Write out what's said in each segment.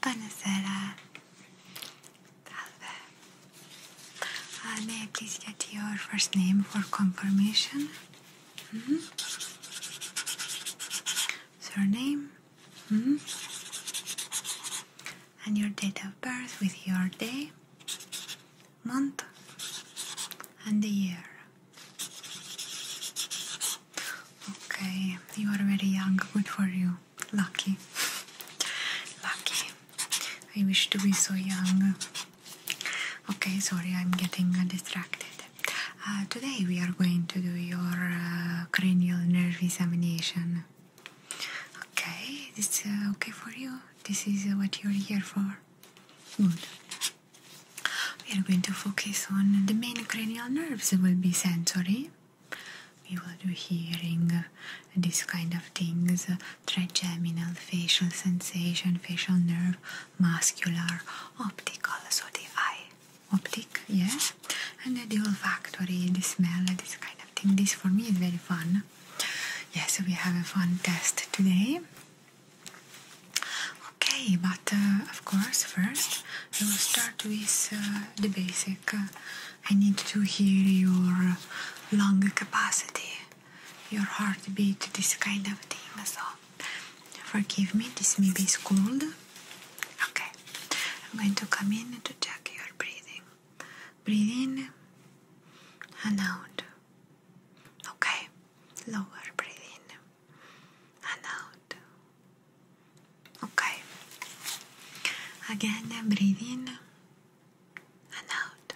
Buonasera. Salve. Uh, may I please get your first name for confirmation? Mm -hmm. Surname? Mm-hmm. And your date of birth with your day, month, and the year. Okay, you are very young. Good for you. Lucky. Lucky. I wish to be so young. Okay, sorry, I'm getting distracted. Uh, today we are going to do your uh, cranial nerve examination. Okay, this is uh, okay for you. This is what you're here for. Good. We are going to focus on the main cranial nerves. It will be sensory, we will do hearing, this kind of things, trigeminal, facial sensation, facial nerve, muscular, optical, so the eye, optic, yeah? And the olfactory, the smell, this kind of thing. This for me is very fun. Yes, we have a fun test today. Okay, but uh, of course, first I will start with uh, the basic. I need to hear your uh, lung capacity, your heartbeat, this kind of thing. So, forgive me, this maybe is cold. Okay, I'm going to come in to check your breathing. Breathing. and out. Okay, lower, breathing and out. Okay. Again, breathe in and out.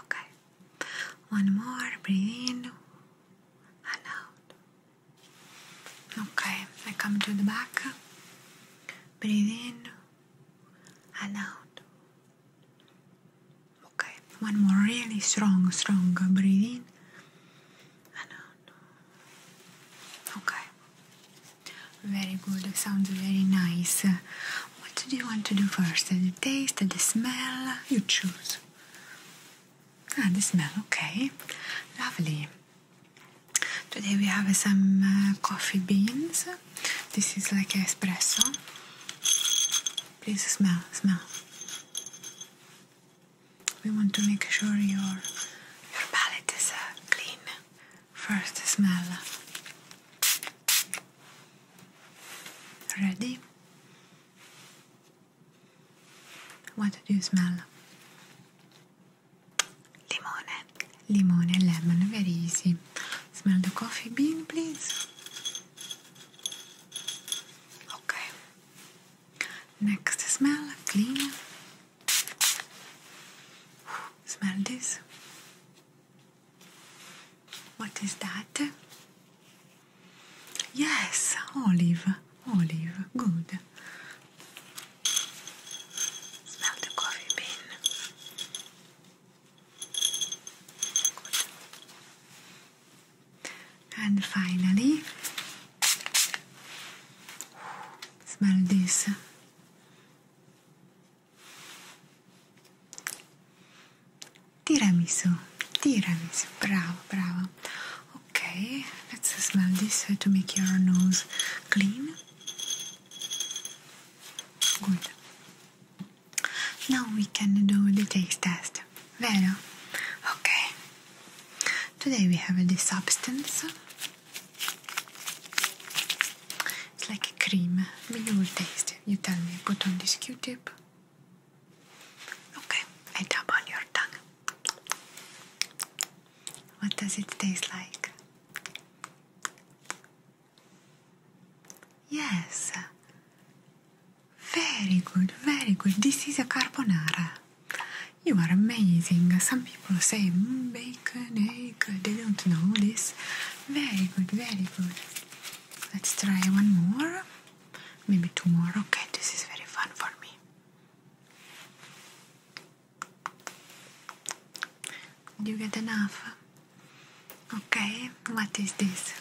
Okay. One more, breathe in and out. Okay, I come to the back. Breathe in and out. Okay, one more really strong, strong breathe in and out. Okay. Very good. sounds very nice. What do you want to do first? The taste, the smell? You choose. Ah, the smell. Okay. Lovely. Today we have some uh, coffee beans. This is like espresso. Please smell, smell. We want to make sure your your palate is uh, clean. First smell. Ready? What did you smell? Limone. Limone, lemon, very easy. Smell the coffee bean, please. Okay. Next smell, clean. Smell this. What is that? Yes, olive, olive, good. Smell the coffee bean. Good. And finally, smell this. Tiramisu, tiramisu, bravo, bravo. Okay, let's smell this to make your nose clean. Good. Now we can do the taste test. Vero? Okay, Today we have this substance. It's like a cream. I you taste it. You tell me. Put on this Q-tip. Okay, I dab on your tongue. What does it taste like? Yes, very good, very good. This is a carbonara. You are amazing. Some people say mm, bacon, egg, they don't know this. Very good, very good. Let's try one more. Maybe two more. Okay, this is very fun for me. Do you get enough? Okay, what is this?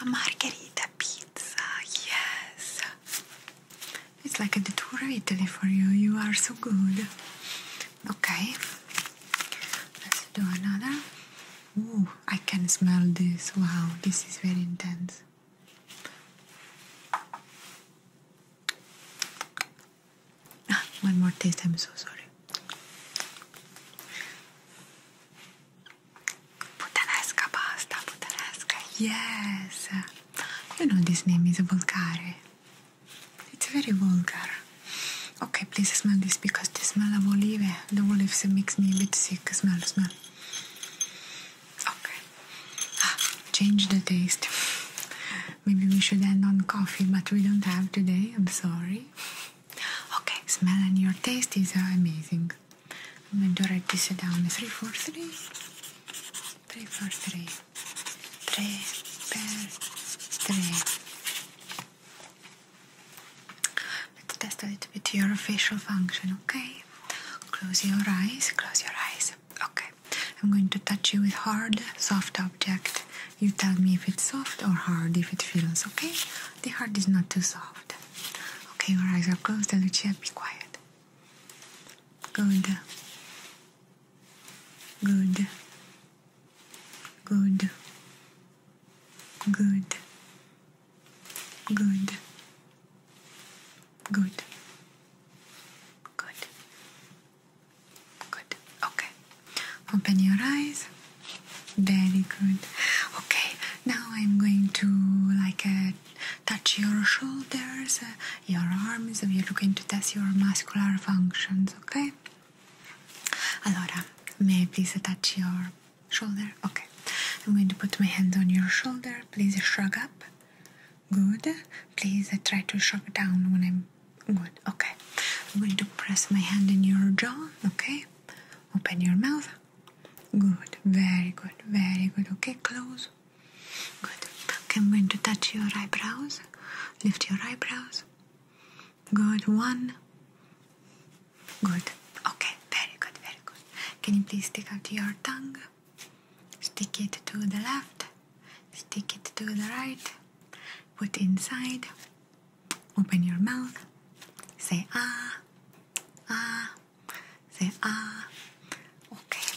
A margherita pizza, yes! It's like a tour of Italy for you, you are so good. Okay, let's do another. Ooh, I can smell this. Wow, this is very intense. Ah, one more taste, I'm so sorry. Buttanesca pasta, Buttanesca, yes! You know this name is Bulgari. It's very vulgar. Okay, please smell this because this smell of olive, the olives makes me a bit sick. Smell, smell. Okay. Ah, change the taste. Maybe we should end on coffee, but we don't have today. I'm sorry. Okay, smell and your taste is amazing. I'm going to write this down 343 343 3 per 3 Let's test a little bit your facial function, okay? Close your eyes, close your eyes. Okay. I'm going to touch you with hard, soft object. You tell me if it's soft or hard, if it feels okay. The hard is not too soft good. Okay, your eyes are closed and Lucia, be quiet. Good. Good. Good. Good. Good. Good. Good. Good. Okay. Open your eyes. Very good. Okay, now I'm going to like uh, touch your shoulders, uh, your arms. We are looking to test your muscular functions. Okay. Allora, may I please touch your shoulder? Okay. I'm going to put my hand on your shoulder. Please shrug up. Good. Please uh, try to shrug down when I'm good. Okay. I'm going to press my hand in your jaw. Okay. Open your mouth. Good, very good, very good. Okay, close. Good. Okay, I'm going to touch your eyebrows. Lift your eyebrows. Good, one. Good. Okay, very good, very good. Can you please stick out your tongue? Stick it to the left. Stick it to the right. Put inside. Open your mouth. Say ah, ah. Say ah. Okay.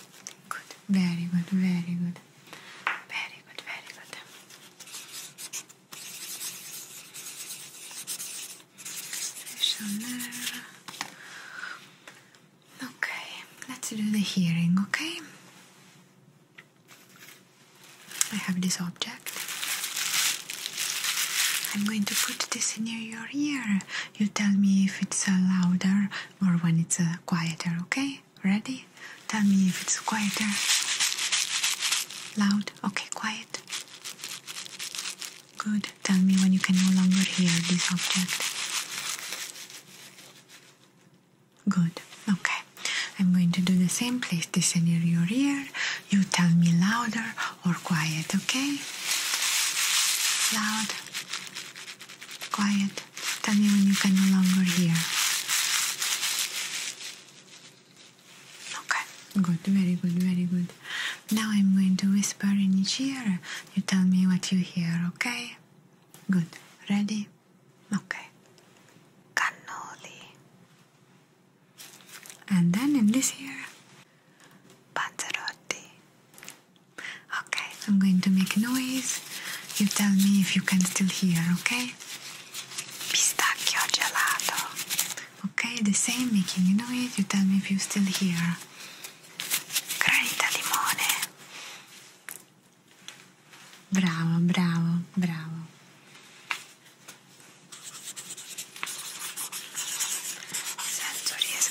Good. Very good. Very good. Very good. Very good. Okay. Let's do the hearing. Okay. I have this object. I'm going to put this near your ear. You tell me if it's uh, louder or when it's uh, quieter, okay? Ready? Tell me if it's quieter. Loud? Okay, quiet. Good. Tell me when you can no longer hear this object. Good. Okay. I'm going to do the same. Place this near your ear. You tell me louder or quiet, okay? Loud, quiet. Tell me when you can no longer hear. Okay, good, very good, very good. Now I'm going to whisper in each ear. You tell me what you hear, okay? Good. Ready? Okay. Cannoli and then in this here Panzerotti. Okay, I'm going to make noise. You tell me if you can still hear, okay? Pistacchio gelato. Okay, the same making a noise, you tell me if you still hear. Granita limone. Bravo, bravo, bravo. Sensory is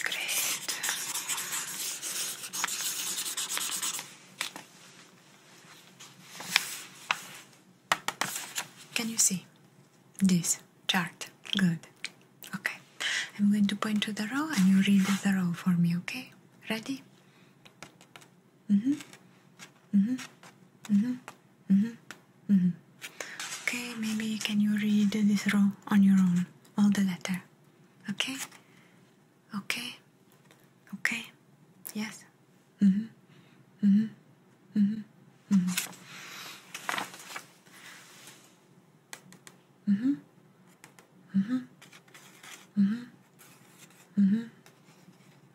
Can you see this chart? Good. Okay. I'm going to point to the row and you read the row for me, okay? Ready? Mm-hmm. Mm-hmm. Mm-hmm. Mm -hmm. Mm -hmm. Okay, maybe can you read this row on your own? All the letter. Okay? Okay? Okay? Yes? Mm hmm. Mm hmm. Mm hmm. Mm hmm. Mm hmm. Mm hmm. Mm hmm. Mm hmm.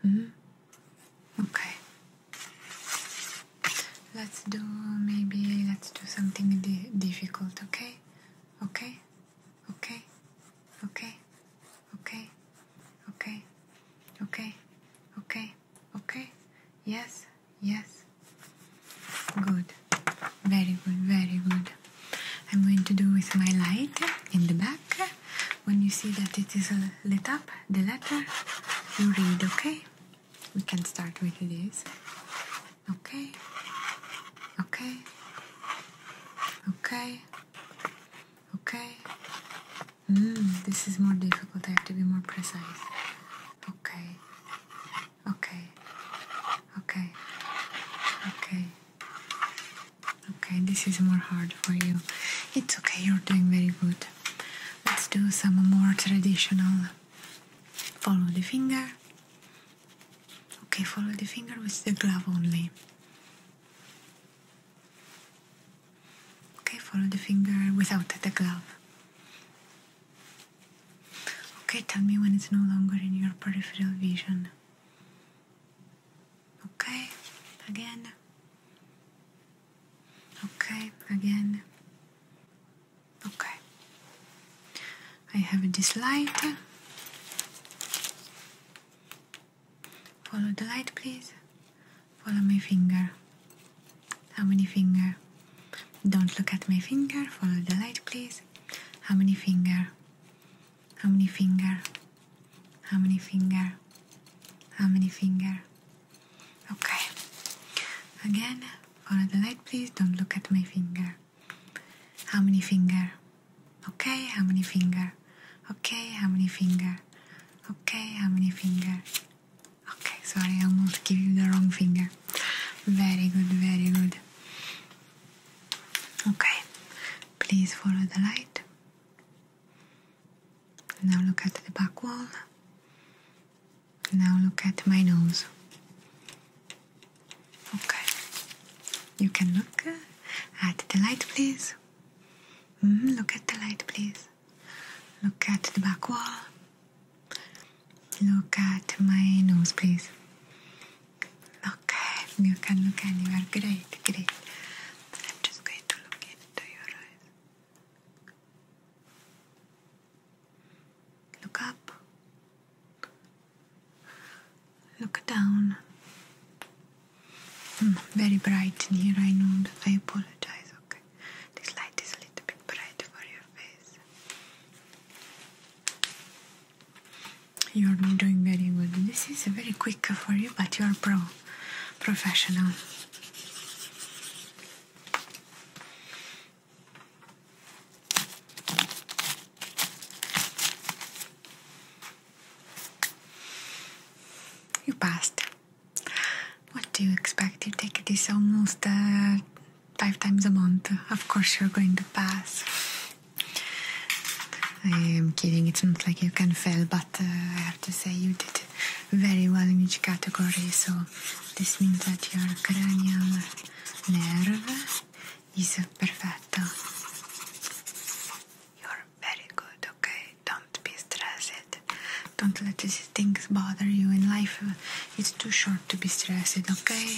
Mm hmm. Okay. Let's do maybe let's do something di difficult, okay? Okay? Okay? Okay? Okay? Okay? Okay? Okay? Okay? Yes? Yes? Good. Very good, very good. I'm going to do with my light in the back. When you see that it is lit up, the letter, you read, okay? We can start with this. Okay. Okay. Okay. Okay. Mm, this is more difficult. I have to be more precise. Okay. Okay. Okay. Okay. Okay, this is more hard for you. It's okay, you're doing very good. Let's do some more traditional. Follow the finger. Okay, follow the finger with the glove only. Okay, follow the finger without the glove. Okay, tell me when it's no longer in your peripheral vision. Okay, again. Okay, again. Okay. I have this light. Follow the light, please. Follow my finger. How many finger? Don't look at my finger. Follow the light, please. How many finger? How many finger? How many finger? How many finger? Okay. Again, follow the light, please. Don't look at my finger. How many finger? Okay, how many finger? Okay, how many finger? Okay, how many finger? Okay, sorry, I almost give you the wrong finger. Very good, very good. Okay, please follow the light. Now look at the back wall. Now look at my nose. Okay. You can look at the light, please. Mm, look at the light, please. Look at the back wall. Look at my nose, please. Okay. You can look anywhere. Great, great. I'm just going to look into your eyes. Look up. Look down. Hmm, very bright here, I know. I apologize, okay? This light is a little bit bright for your face. You're doing very well. This is very quick for you, but you're pro professional. You passed. What do you expect? You take this almost uh, five times a month. Of course, you're going to pass. I am kidding. It's not like you can fail, but uh, I have to say you did it very well in each category. So this means that your cranial nerve is perfect. You're very good, okay? Don't be stressed. Don't let these things bother you in life. It's too short to be stressed, okay?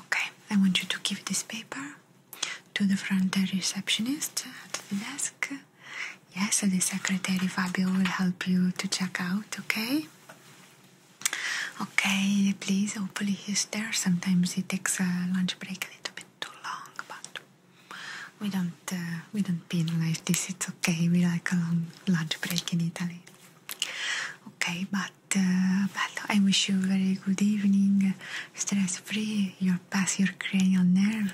Okay, I want you to give this paper to the front receptionist at the desk. Yes, the secretary Fabio will help you to check out, okay? Okay, please, hopefully he's there. Sometimes he takes a lunch break a little bit too long, but we don't uh, we don't pin penalize this. It's okay. We like a long lunch break in Italy. Okay, but uh, but I wish you a very good evening, stress free, you're past your cranial nerve.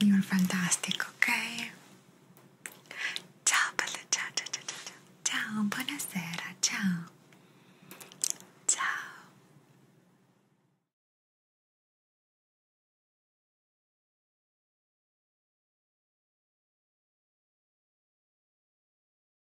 You're fantastic, ok? Ciao, bella, ciao, ciao, ciao, ciao, ciao, buonasera, ciao, ciao.